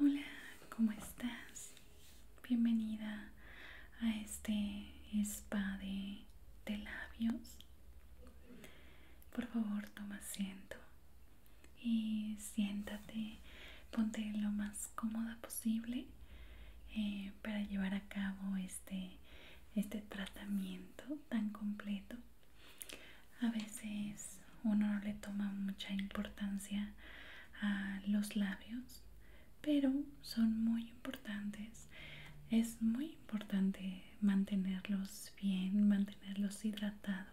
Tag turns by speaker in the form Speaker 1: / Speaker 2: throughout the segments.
Speaker 1: Hola, ¿cómo estás? Bienvenida a este spa de, labios. Por favor, toma asiento y siéntate, ponte lo más cómoda posible eh, para llevar a cabo este, este tratamiento tan completo a veces uno no le toma mucha importancia a los labios, pero son muy importantes. Es muy importante mantenerlos bien, mantenerlos hidratados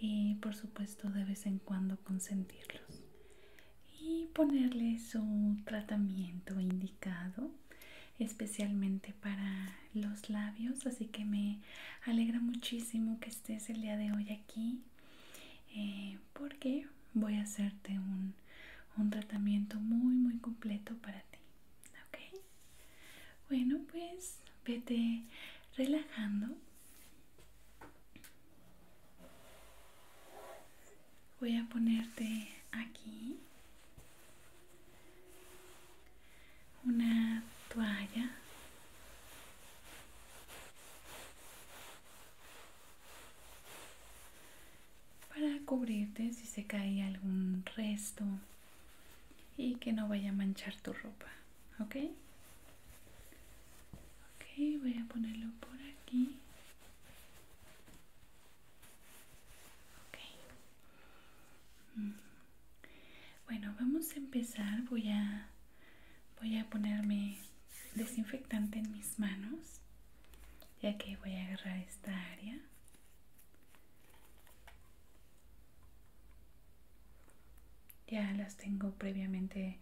Speaker 1: y por supuesto de vez en cuando consentirlos y ponerle su tratamiento indicado especialmente para los labios así que me alegra muchísimo que estés el día de hoy aquí eh, porque voy a hacerte un, un tratamiento muy muy completo para ti ok bueno pues vete relajando voy a ponerte aquí una toalla para cubrirte si se cae algún resto y que no vaya a manchar tu ropa, ¿ok? voy a ponerlo por aquí. Bueno, vamos a empezar. Voy a ponerme desinfectante en mis manos, ya que voy a agarrar esta área. Ya las tengo previamente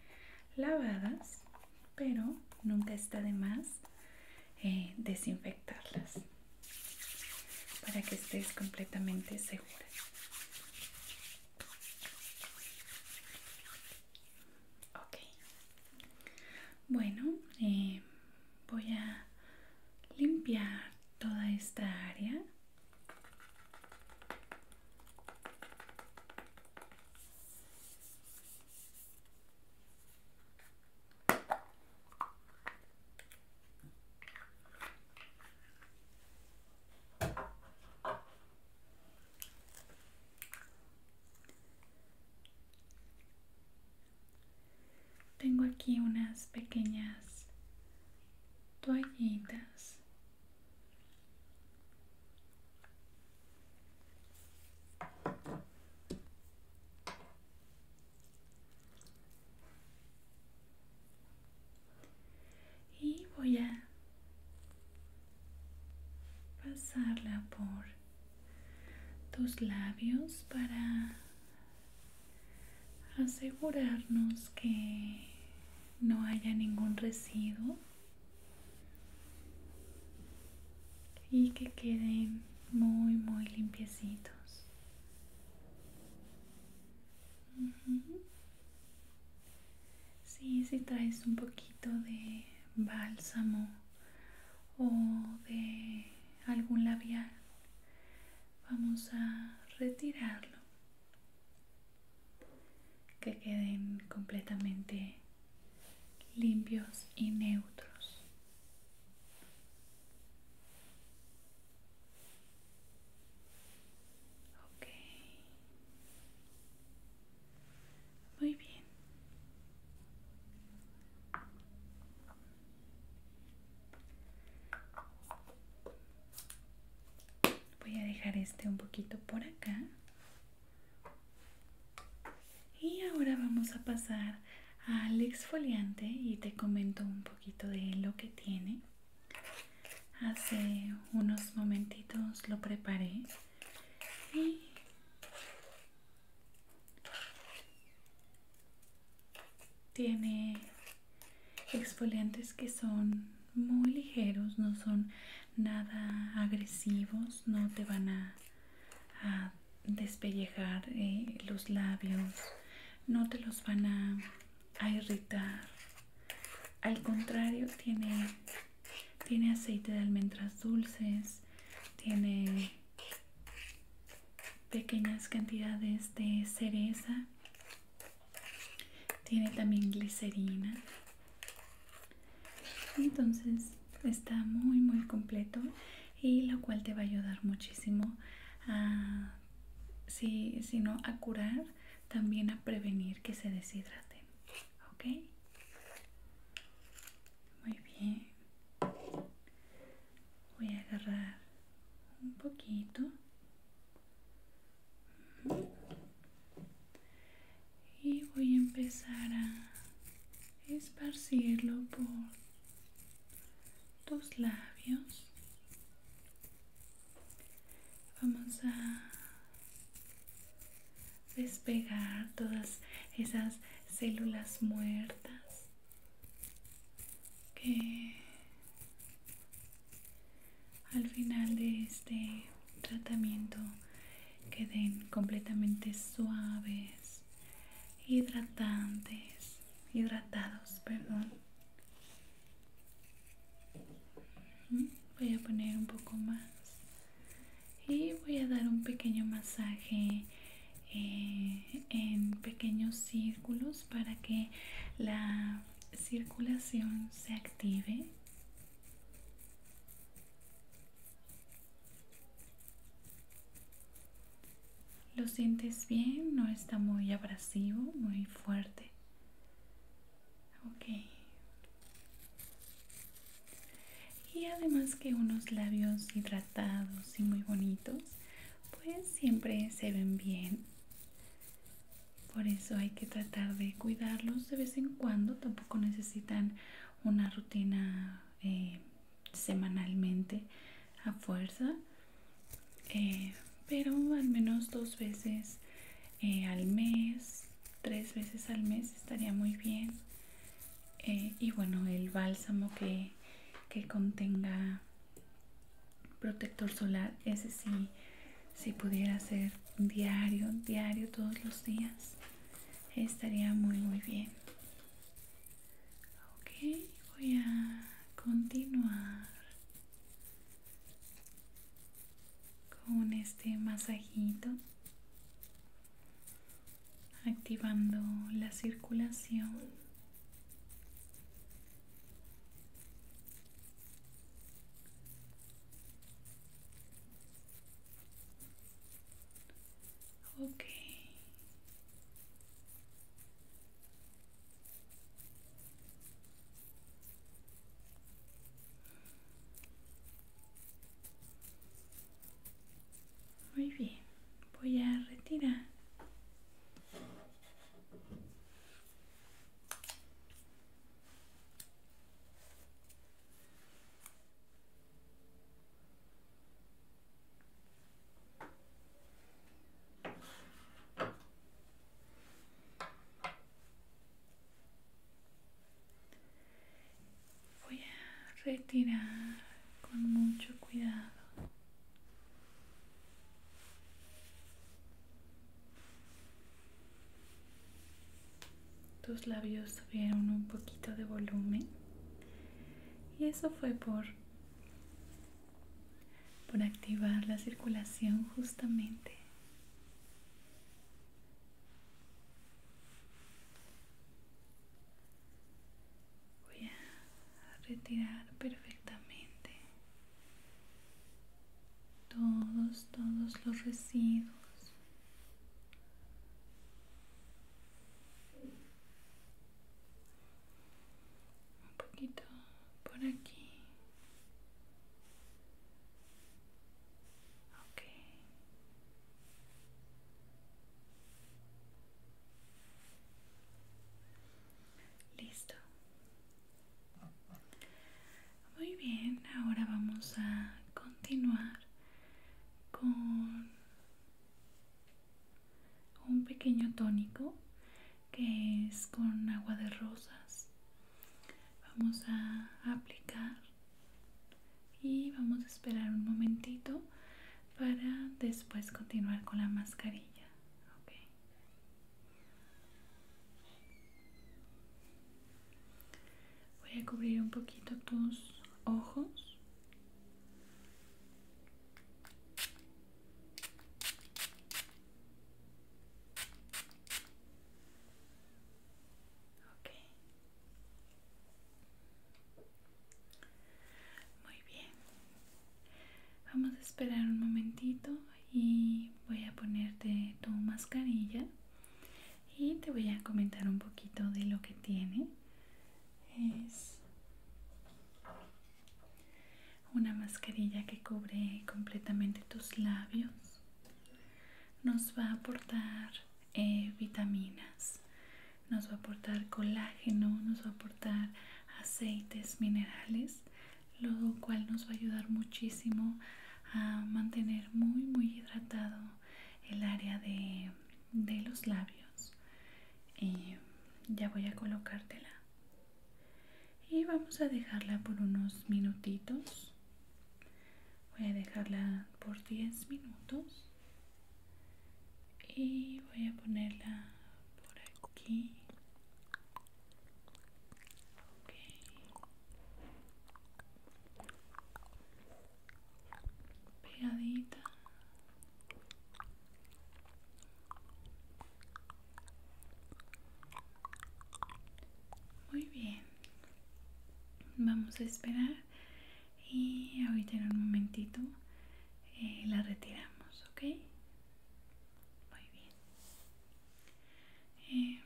Speaker 1: lavadas, pero nunca está de más eh, desinfectarlas para que estés completamente segura. Bueno, eh, voy a limpiar toda esta área. Tengo aquí unas pequeñas toallitas y voy a pasarla por tus labios para asegurarnos que no haya ningún residuo y que queden muy muy limpiecitos si traes un poquito de bálsamo o de algún labial, vamos a retirarlo. Que queden completamente limpios y neutros. Muy bien. Voy a dejar este un poquito por acá. Y ahora vamos a pasar al exfoliante y te comento un poquito de lo que tiene. Hace unos momentitos lo preparé y tiene exfoliantes que son muy ligeros, no son nada agresivos, no te van a, despellejar eh, los labios, no te los van a, irritar. Al contrario, tiene, tiene aceite de almendras dulces, tiene pequeñas cantidades de cereza, tiene también glicerina. Entonces está muy muy completo y lo cual te va a ayudar muchísimo a si, sino a curar, también a prevenir que se deshidraten. ¿Ok? Muy bien. Voy a agarrar un poquito. Y voy a empezar a esparcirlo por tus labios. Vamos a despegar todas esas células muertas que al final de este tratamiento queden completamente suaves hidratantes, hidratados, perdón. Voy a poner un poco más y voy a dar un pequeño masaje eh, en pequeños círculos para que la circulación se active. Lo sientes bien, no está muy abrasivo, muy fuerte. Y además que unos labios hidratados y muy bonitos, pues siempre se ven bien. Por eso hay que tratar de cuidarlos de vez en cuando. Tampoco necesitan una rutina eh, semanalmente a fuerza eh, pero al menos dos veces eh, al mes tres veces al mes estaría muy bien eh, y bueno el bálsamo que, que contenga protector solar ese sí si pudiera ser diario diario todos los días estaría muy muy bien Okay, voy a continuar con este masajito activando la circulación Ok, muy bien, voy a retirar. Voy a retirar con mucho cuidado. Tus labios tuvieron un poquito de volumen y eso fue por por activar la circulación justamente. Voy a retirar perfectamente todos, todos los residuos. un poquito por aquí listo muy bien ahora vamos a continuar con un pequeño tónico que es con agua de rosas vamos a aplicar y vamos a esperar un momentito para después continuar con la mascarilla voy a cubrir un poquito tus ojos muy bien. Vamos a esperar un momentito y voy a ponerte tu mascarilla y te voy a comentar un poquito de lo que tiene. Es una mascarilla que cubre completamente tus labios nos va a aportar eh, vitaminas nos va a aportar colágeno nos va a aportar aceites minerales lo cual nos va a ayudar muchísimo a mantener muy muy hidratado el área de, los labios ya voy a colocártela y vamos a dejarla por unos minutitos voy a dejarla por 10 minutos y voy a ponerla por aquí pegadita muy bien. Vamos a esperar y ahorita en un momentito eh, la retiramos, ¿ok? Muy bien. Eh,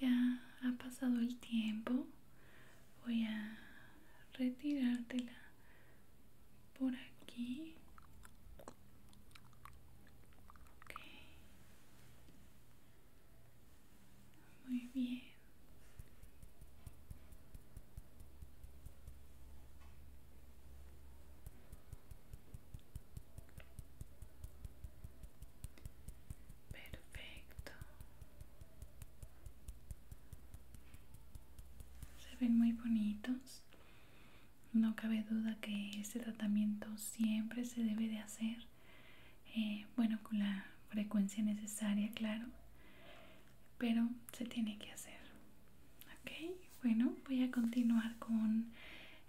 Speaker 1: ya ha pasado el tiempo. Voy a retirártela por aquí muy bien perfecto se ven muy bonitos no cabe duda que este tratamiento siempre se debe de hacer, eh, bueno, con la frecuencia necesaria, claro, pero se tiene que hacer. Ok, bueno, voy a continuar con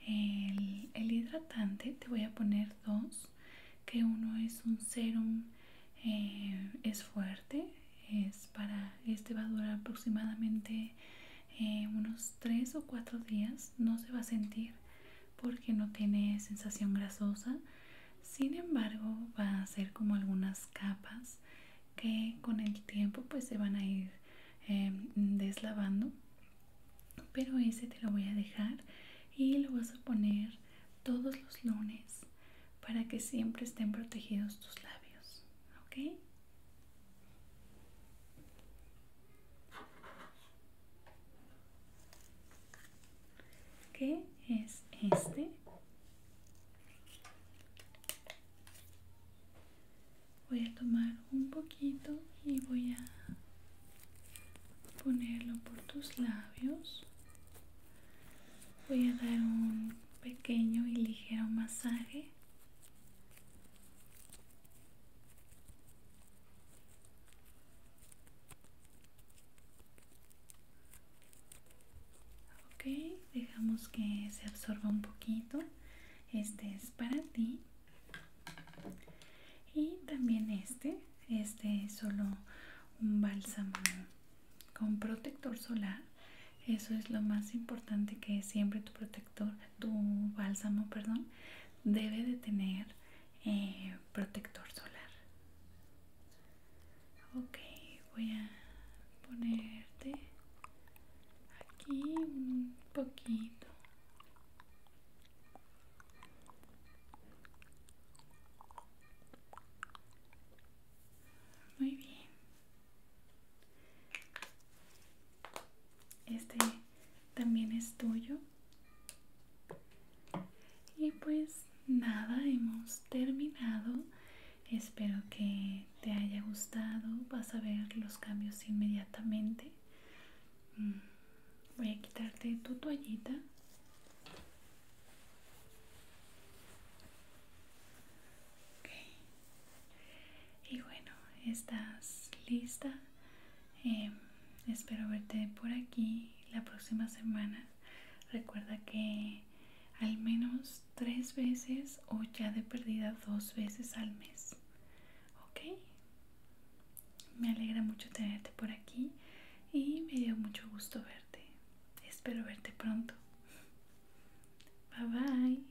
Speaker 1: el, hidratante. Te voy a poner dos, que uno es un serum, eh, es fuerte, es para, este va a durar aproximadamente eh, unos tres o cuatro días no se va a sentir porque no tiene sensación grasosa sin embargo va a ser como algunas capas que con el tiempo pues se van a ir eh, deslavando pero ese te lo voy a dejar y lo vas a poner todos los lunes para que siempre estén protegidos tus labios ok que es este voy a tomar un poquito y voy a ponerlo por tus labios voy a dar un pequeño y ligero masaje Ok, dejamos que se absorba un poquito. Este es para ti. Y también este. Este es solo un bálsamo con protector solar eso es lo más importante que siempre tu protector, tu bálsamo, perdón, debe de tener eh, protector solar. Ok, voy a ponerte aquí un poquito. Muy bien. Este también es tuyo. Y pues nada, hemos terminado. Espero que te haya gustado. Vas a ver los cambios inmediatamente. Mm, voy a quitarte tu toallita. Y bueno, estás lista. Em, espero verte por aquí la próxima semana. Recuerda que al menos tres veces o ya de perdida dos veces al mes. ¿Ok? Me alegra mucho tenerte por aquí y me dio mucho gusto verte. Espero verte pronto. Bye bye.